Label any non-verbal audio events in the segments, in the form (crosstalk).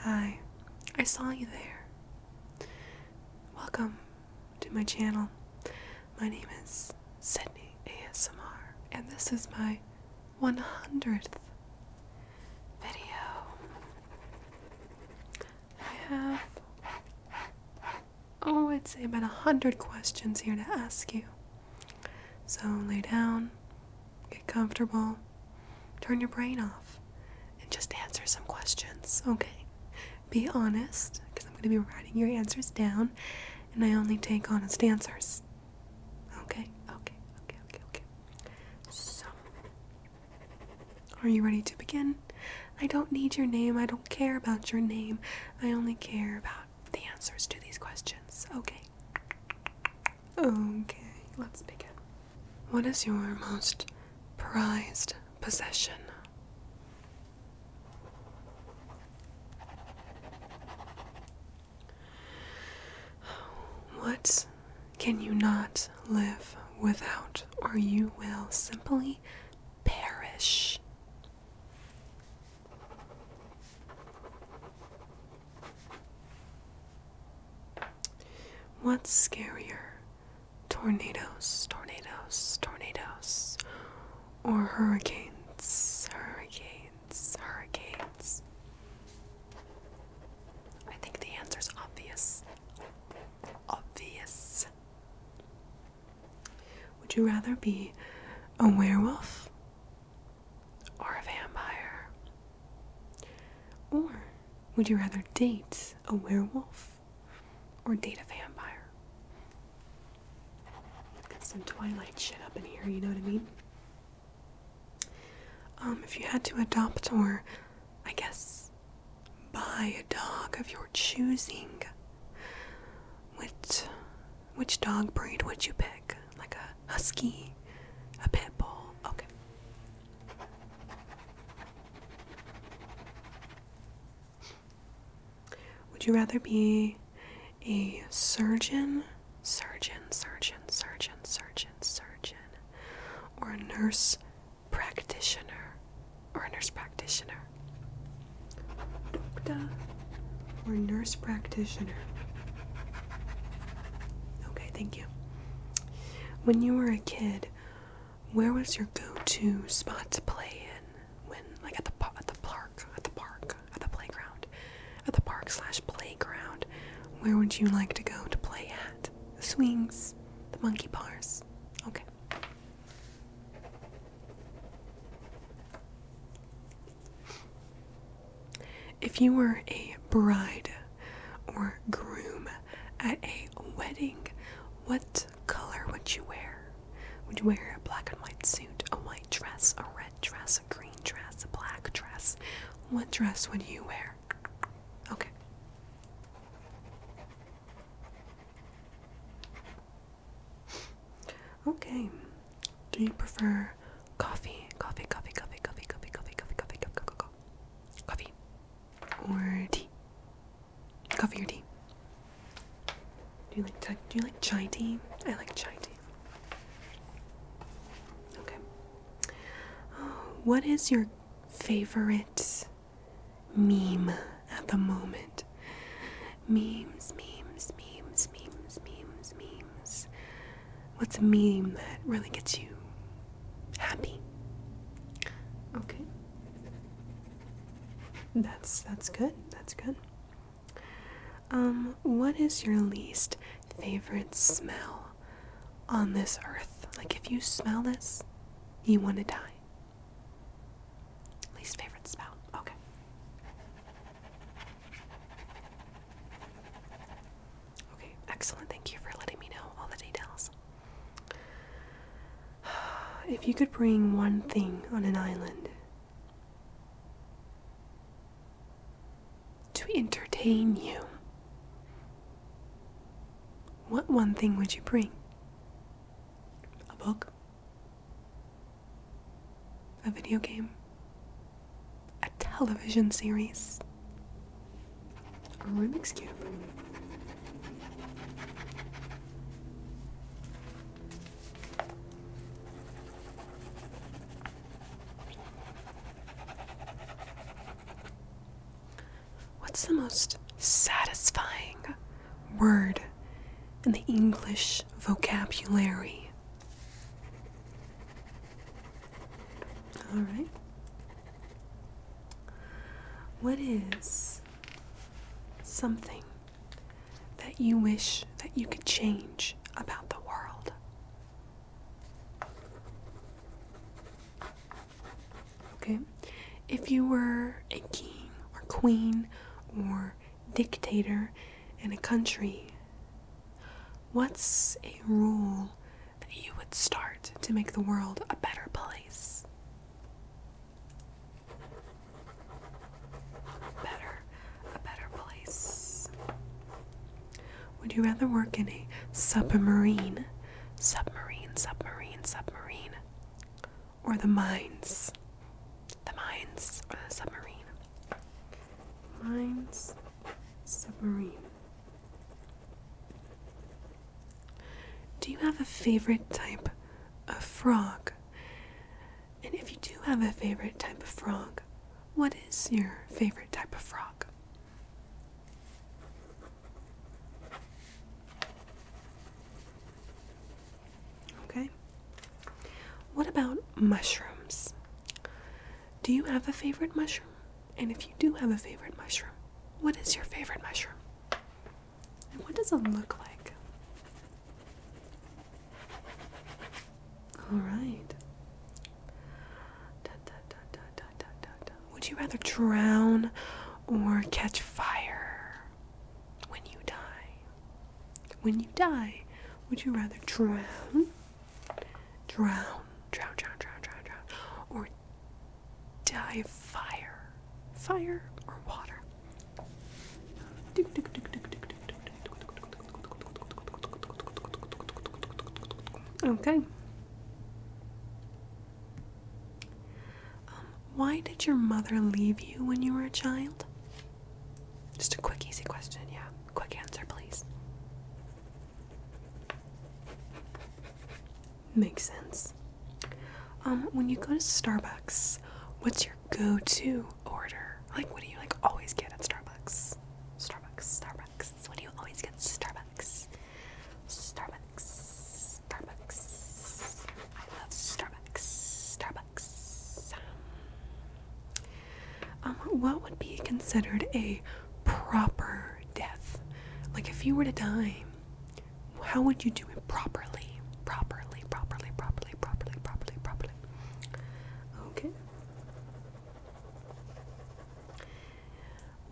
Hi, I saw you there. Welcome to my channel. My name is Sydney ASMR, and this is my 100th video. I have oh, I'd say about a hundred questions here to ask you. So lay down, get comfortable, turn your brain off, and just answer some questions, okay? Be honest, because I'm going to be writing your answers down, and I only take honest answers. Okay, okay, okay, okay, okay. So, are you ready to begin? I don't need your name. I don't care about your name. I only care about the answers to these questions. Okay. Okay, let's begin. What is your most prized possession? What can you not live without, or you will simply perish. What's scarier, tornadoes, tornadoes, tornadoes, or hurricanes, hurricanes, hurricanes? I think the answer's obvious. Obvious. Would you rather be a werewolf or a vampire? Or would you rather date a werewolf or date a vampire? Got some Twilight shit up in here, you know what I mean? Um, if you had to adopt or, I guess, Buy a dog of your choosing. Which, which dog breed would you pick? Like a husky, a pit bull? Okay. Would you rather be a surgeon, surgeon, surgeon, surgeon, surgeon, surgeon, or a nurse practitioner? or a nurse practitioner? Doctor or nurse practitioner? Okay, thank you. When you were a kid, where was your go-to spot to play in? When, like, at the at the park, at the park, at the playground, at the park slash playground, where would you like to go to play at? The swings, the monkey bars. Okay. If you were a bride or groom at a wedding, what color would you wear? Would you wear a black and white suit, a white dress, a red dress, a green dress, a black dress? What dress would you wear? Okay. Okay. Do you prefer coffee, coffee, coffee, coffee, coffee, coffee, coffee, coffee, coffee, coffee, coffee, coffee, or tea? Coffee or tea? Do you like do you like chai tea? I like chai tea. Okay. What is your favorite meme at the moment. Memes, memes, memes, memes, memes, memes. What's a meme that really gets you happy? Okay. That's that's good. That's good. Um, what is your least favorite smell on this earth? Like if you smell this, you want to die. Least favorite spout. Okay. Okay, excellent. Thank you for letting me know all the details. (sighs) If you could bring one thing on an island to entertain you, what one thing would you bring? A book? A video game, a television series, a remix Cube. What's the most satisfying word in the English vocabulary. All right. What is something that you wish that you could change about the world? Okay. If you were a king or queen or dictator in a country, what's a rule that you would start to make the world a better place? Better, a better place. Would you rather work in a submarine? Submarine, submarine, submarine or the mines. The mines or the submarine. Mines, submarine. Do you have a favorite type of frog? And if you do have a favorite type of frog, what is your favorite type of frog? Okay. What about mushrooms? Do you have a favorite mushroom? And if you do have a favorite mushroom, what is your favorite mushroom? And what does it look like? All right. Would you rather drown or catch fire? when you die? When you die, would you rather drown? Drown, drown, drown, drown, drown, or die of fire? Fire or water? Okay. Um, why did your mother leave you when you were a child? Just a quick, easy question, yeah. Quick answer, please. Makes sense. Um, when you go to Starbucks, what's your go-to order? Like, what do you like always get at Starbucks? Starbucks, Starbucks. What do you always get? Starbucks, Starbucks, Starbucks. I love Starbucks. Starbucks. Starbucks. Um, what would be considered a proper death? Like if you were to die, how would you do it properly? Properly, properly, properly, properly, properly, properly. Okay.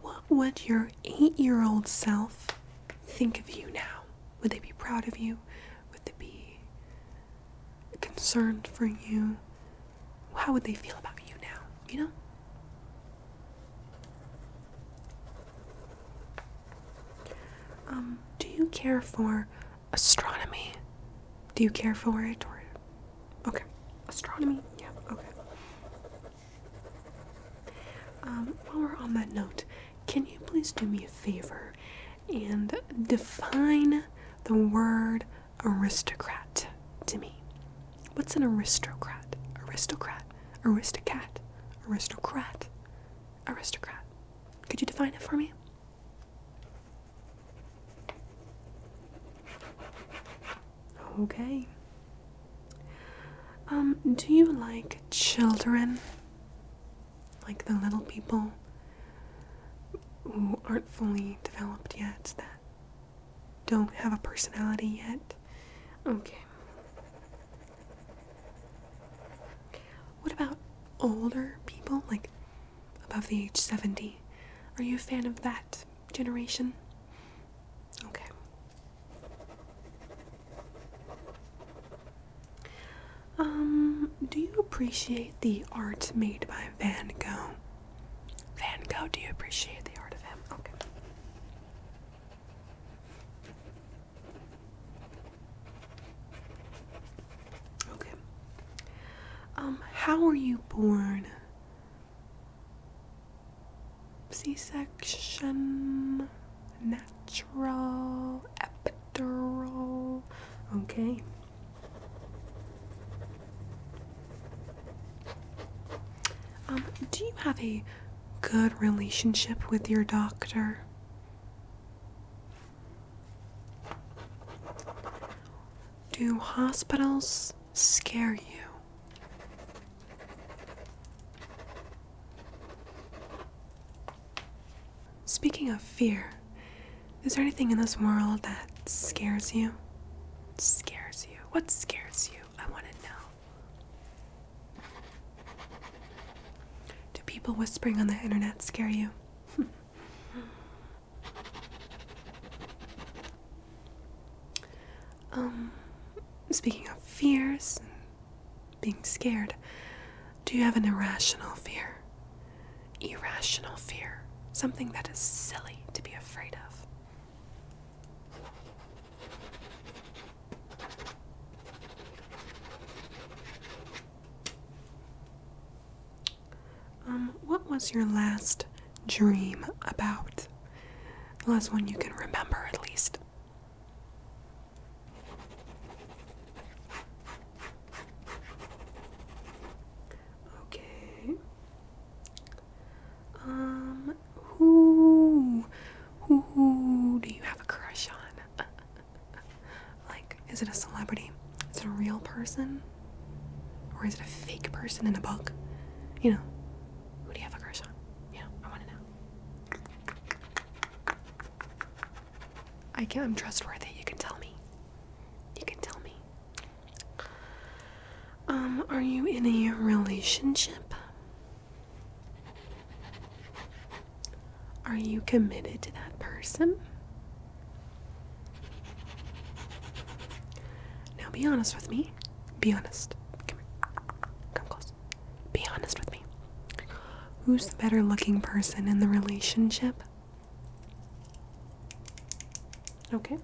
What would your eight year old self think of you now? Would they be proud of you? Would they be concerned for you? How would they feel about you now? You know? Um, do you care for astronomy? Do you care for it or okay. Astronomy, yeah, okay. Um, while we're on that note, can you please do me a favor and define the word aristocrat to me. What's an aristocrat? Aristocrat, Aristocrat. aristocrat, aristocrat. Could you define it for me? Okay. Um, do you like children? like the little people who aren't fully developed yet, that don't have a personality yet. Okay. What about older people, like above the age 70? Are you a fan of that generation? Okay. Um, do you appreciate the art made by Van Gogh? Van Gogh, do you appreciate the art of him? Okay. Okay. Um, how were you born? C section, natural, Okay. Um, do you have a good relationship with your doctor? Do hospitals scare you? Speaking of fear, is there anything in this world that scares you? Scares you? What scares you? I want to know. Do people whispering on the internet scare you? (laughs) um, speaking of fears and being scared, do you have an irrational fear? Irrational fear. Something that is silly to be afraid of. Um, what was your last dream about? The last one you can remember, at least. Okay. Um, who, who do you have a crush on? (laughs) like, is it a celebrity? Is it a real person? Or is it a fake person in a book? You know, who do you have a crush on? You I want to know. I can I'm trustworthy. You can tell me. You can tell me. Um, are you in a relationship? Are you committed to that person? Now be honest with me. Be honest. Come here. Come close. Be honest with me. Who's the better looking person in the relationship? Okay.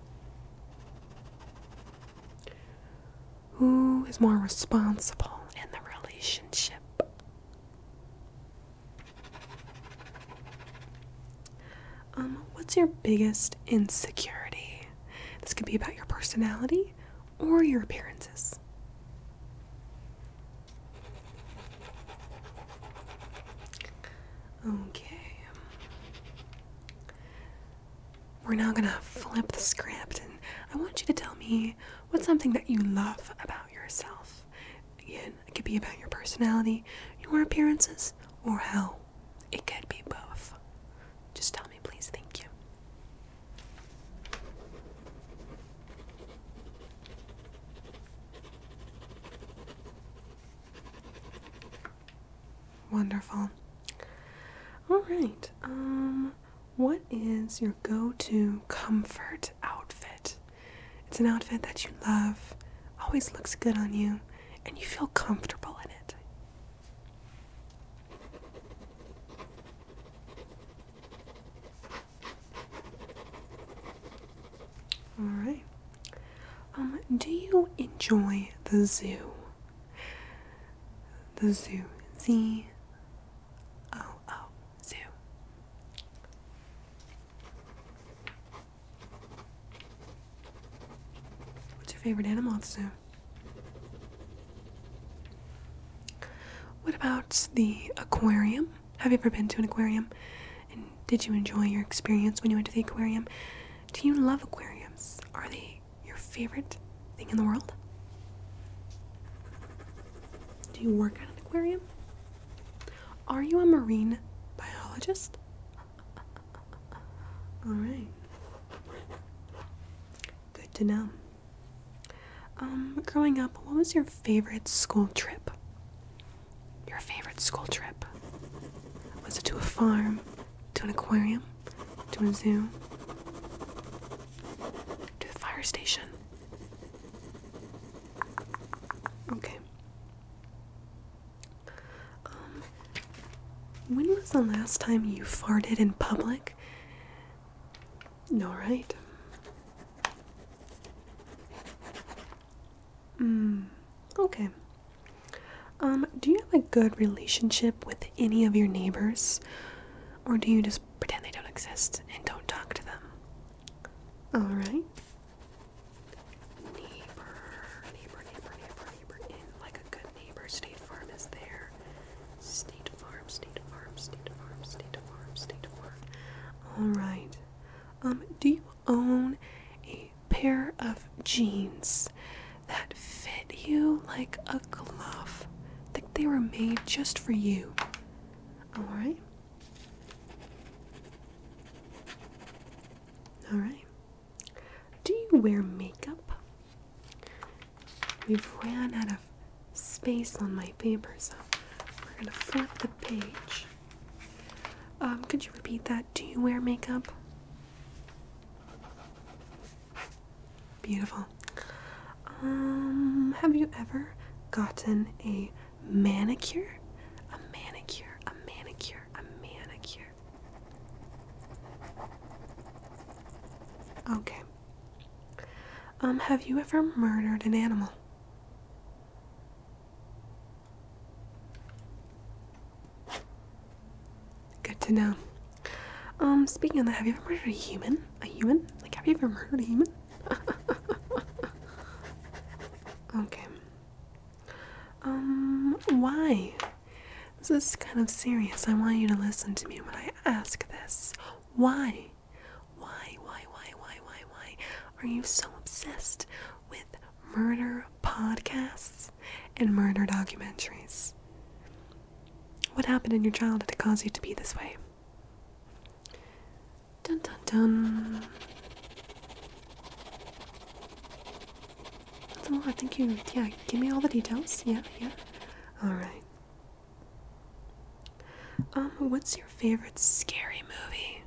Who is more responsible in the relationship? Um, what's your biggest insecurity? This could be about your personality or your appearances. Okay. We're now gonna flip the script, and I want you to tell me what's something that you love about yourself. Again, it could be about your personality, your appearances, or how. it could be both. Just tell me, please. Thank you. Wonderful. All right. Um what is your go-to comfort outfit? It's an outfit that you love, always looks good on you, and you feel comfortable in it. All right. Um, do you enjoy the zoo? The zoo. Z O O zoo. What's your favorite animal at the zoo? What about the aquarium? Have you ever been to an aquarium? And did you enjoy your experience when you went to the aquarium? Do you love aquariums? Are they your favorite thing in the world? Do you work at an aquarium? Are you a marine biologist? (laughs) All right. Good to know. Um, growing up, what was your favorite school trip? Your favorite school trip? Was it to a farm? To an aquarium? To a zoo? To the fire station? Okay. Um, when was the last time you farted in public? No, right? Mm, okay. Um, do you have a good relationship with any of your neighbors? Or do you just pretend they don't exist and don't talk to them? Alright. Neighbor, neighbor, neighbor, neighbor, neighbor. In like a good neighbor. State Farm is there. State Farm, State Farm, State Farm, State Farm, State Farm. Alright. Um, do you own a pair of jeans that fit you like a glove. Like they were made just for you. Alright? Alright. Do you wear makeup? We've ran out of space on my paper, so we're going to flip the page. Um, could you repeat that? Do you wear makeup? Beautiful. Um, have you ever gotten a manicure? A manicure, a manicure, a manicure. Okay. Um, have you ever murdered an animal? Good to know. Um, speaking of that, have you ever murdered a human? A human? Like, have you ever murdered a human? (laughs) okay. Um, why? This is kind of serious. I want you to listen to me when I ask this. Why, why, why, why, why, why are you so obsessed with murder, podcasts, and murder documentaries. What happened in your childhood to cause you to be this way? Dun dun dun. That's a lot. Thank you. Yeah, give me all the details. Yeah, yeah. All right. Um, what's your favorite scary movie?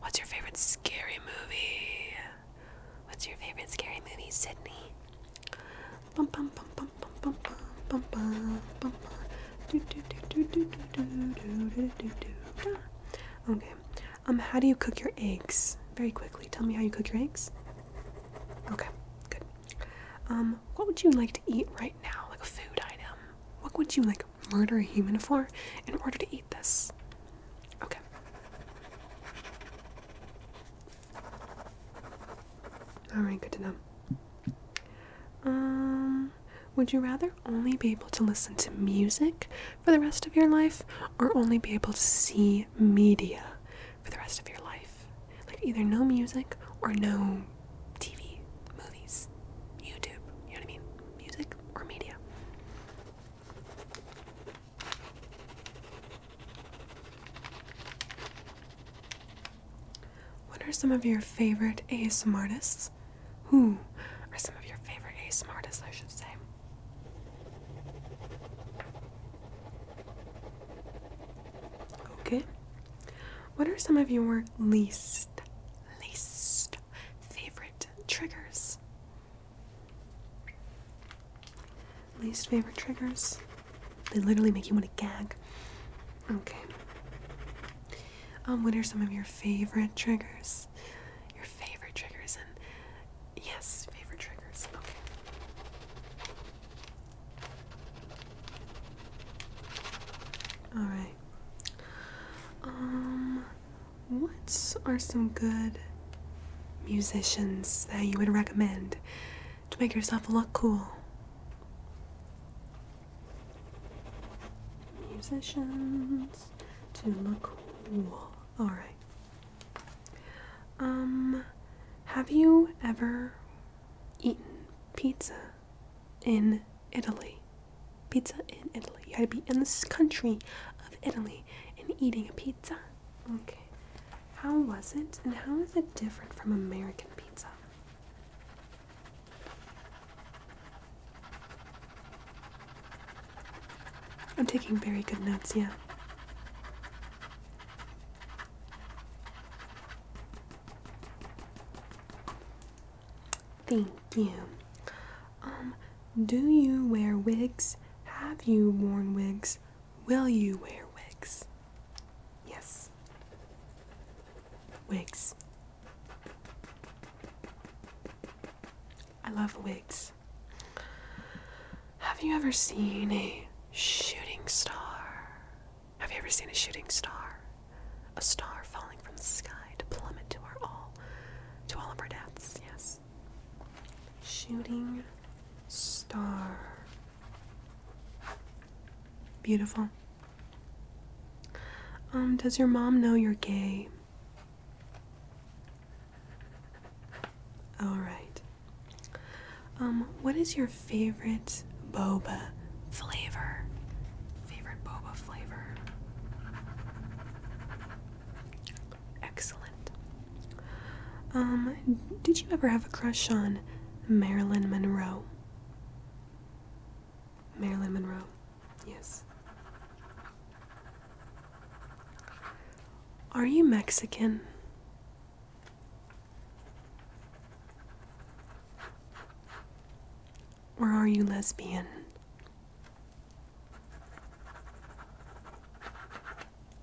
What's your favorite scary movie? What's your favorite scary movie, Sydney? Bum bum bum bum bum bum bum bum bum do do do do do do do do do do Okay. Um how do you cook your eggs? Very quickly. Tell me how you cook your eggs. Okay, good. Um, what would you like to eat right now? Like a food item. What would you like murder a human for in order to eat this. Okay. Alright, good to know. Um, would you rather only be able to listen to music for the rest of your life or only be able to see media for the rest of your life? Like either no music or no TV, movies, YouTube, you know what I mean? Music or media. What are some of your favorite ASM artists? Who are some of your favorite ASM artists, I should say? Okay. What are some of your least, least favorite triggers? Least favorite triggers. They literally make you want to gag. Okay. Um, what are some of your favorite triggers? Your favorite triggers and yes, favorite triggers. Okay. All right. Um what are some good musicians that you would recommend to make yourself look cool? Musicians to look cool. Alright. Um, have you ever eaten pizza in Italy? Pizza in Italy. You have to be in this country of Italy family and eating a pizza. Okay. How was it and how is it different from American pizza? I'm taking very good notes, yeah. Thank you. Um, do you wear wigs? Have you worn wigs? Will you wear wigs? Yes. Wigs. I love wigs. Have you ever seen a shooting star? Have you ever seen a shooting star? A star falling from the sky to plummet to our all, to all of our deaths, yes. Shooting Star. Beautiful. Um, does your mom know you're gay? Alright. Um, what is your favorite boba flavor? Favorite boba flavor? Excellent. Um, did you ever have a crush on Marilyn Monroe? Marilyn Monroe, yes. Are you Mexican? Or are you lesbian?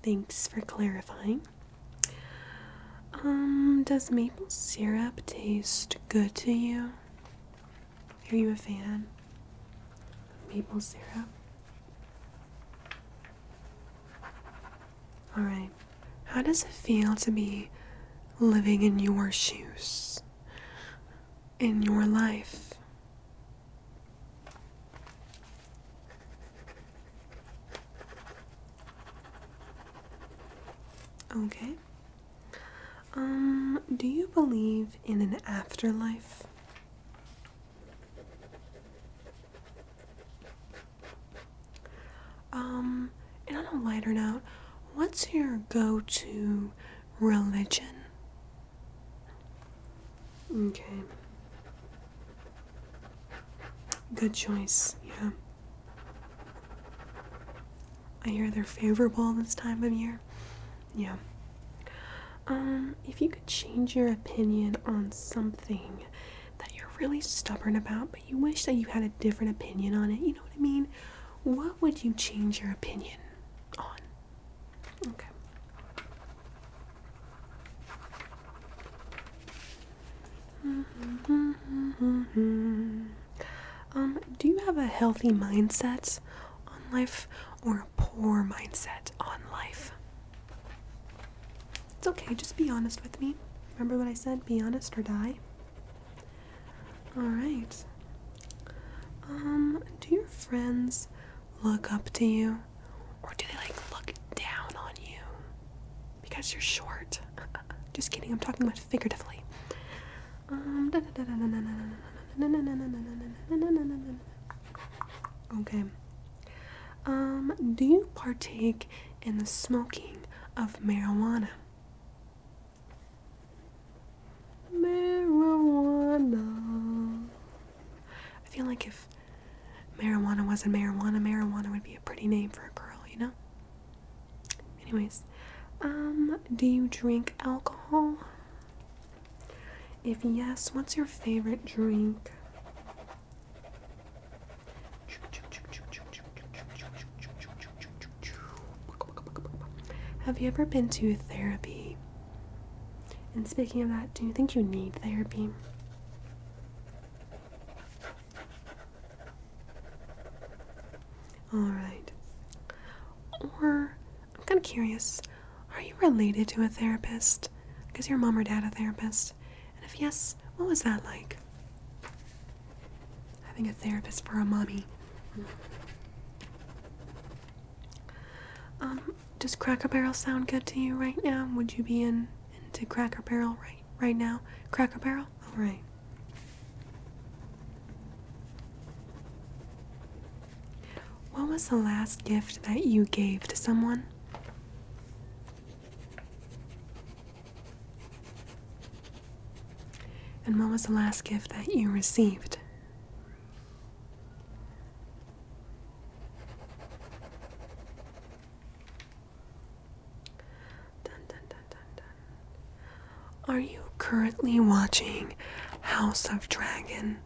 Thanks for clarifying. Um, does maple syrup taste good to you? Are you a fan of maple syrup? Alright. How does it feel to be living in your shoes? In your life? Okay. Um, do you believe in an afterlife? Um, and on a lighter note, what's your go to religion? Okay. Good choice, yeah. I hear they're favorable this time of year. Yeah. Um, if you could change your opinion on something that you're really stubborn about, but you wish that you had a different opinion on it, you know what I mean? What would you change your opinion on? Okay. (laughs) Um, do you have a healthy mindset on life or a poor mindset on life? It's okay, just be honest with me. Remember what I said? Be honest or die. Alright. Um, do your friends look up to you or do they like look down on you because you're short? Just kidding, I'm talking about figuratively. Um, okay. Um, do you partake in the smoking of marijuana? Marijuana. I feel like if marijuana wasn't marijuana, marijuana would be a pretty name for a girl, you know? Anyways, um, do you drink alcohol? If yes, what's your favorite drink? Have you ever been to therapy? And speaking of that, do you think you need therapy? Alright. Or, I'm kind of curious, are you related to a therapist? Because your mom or dad a therapist? And if yes, what was that like? Having a therapist for a mommy. Um, does Cracker Barrel sound good to you right now? Would you be in into Cracker Barrel right right now? Cracker Barrel? Alright. What was the last gift that you gave to someone? And what was the last gift that you received? Are you currently watching House of Dragon?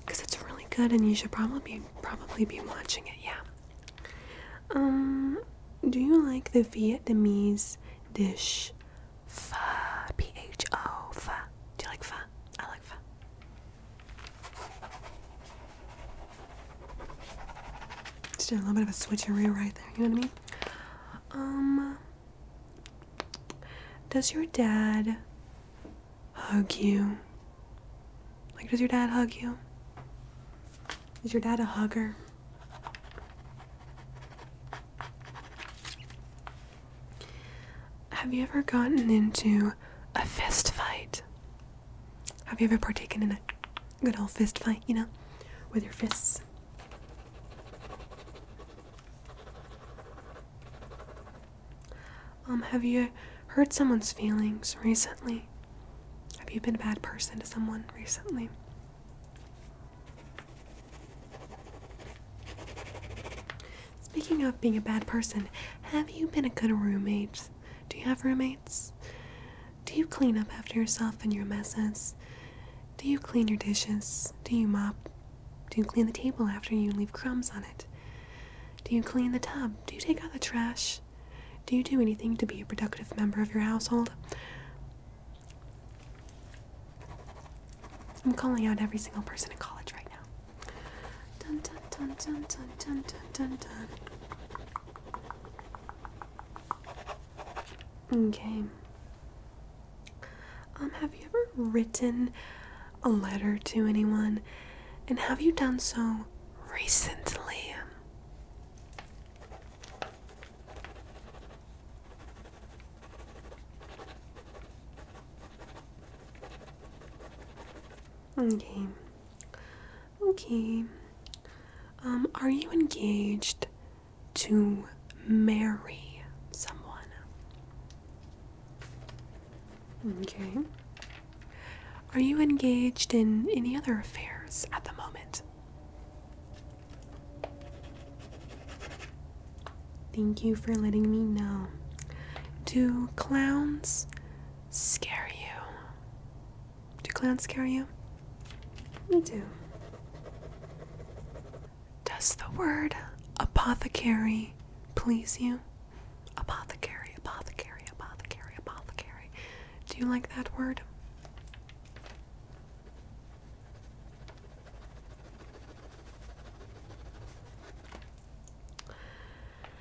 Because it's really good, and you should probably probably be watching it. Yeah. Um. Do you like the Vietnamese dish pho? P H O pho. Do you like pho? I like pho. Just did a little bit of a switcheroo right there, you know what I mean? Um, does your dad hug you? Like, does your dad hug you? Is your dad a hugger? Have you ever gotten into a fist fight? Have you ever partaken in a good old fist fight, you know, with your fists? Um, have you hurt someone's feelings recently? Have you been a bad person to someone recently? Speaking of being a bad person, have you been a good roommate? Do you have roommates? Do you clean up after yourself and your messes? Do you clean your dishes? Do you mop? Do you clean the table after you leave crumbs on it? Do you clean the tub? Do you take out the trash? Do you do anything to be a productive member of your household? I'm calling out every single person in college right now. Okay. Um, have you ever written a letter to anyone? And have you done so recently? Okay. Okay. Um, are you engaged to marry someone? Okay. Are you engaged in any other affairs at the moment? Thank you for letting me know. Do clowns scare you. Do clowns scare you? We do. Does the word apothecary please you? Apothecary, apothecary, apothecary, apothecary. Do you like that word?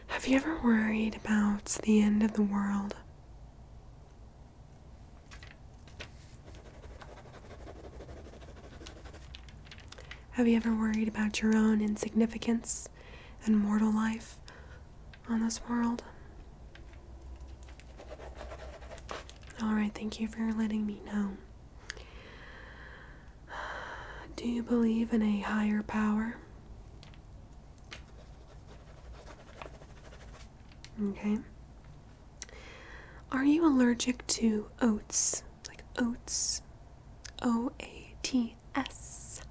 Have you ever worried about the end of the world? Have you ever worried about your own insignificance and mortal life on this world? Alright, thank you for letting me know. Do you believe in a higher power? Okay. Are you allergic to oats? Like oats. O A T S.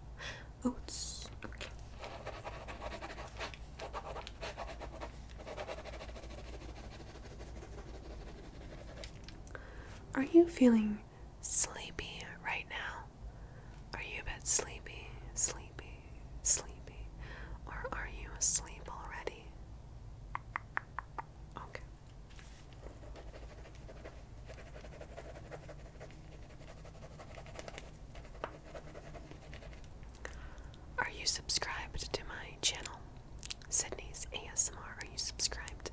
Oats. Okay. Are you feeling sleepy right now? Are you a bit sleepy, sleepy, sleepy? Or are you asleep already? Okay. Are you subscribed to my channel? Sydney's ASMR. Are you subscribed?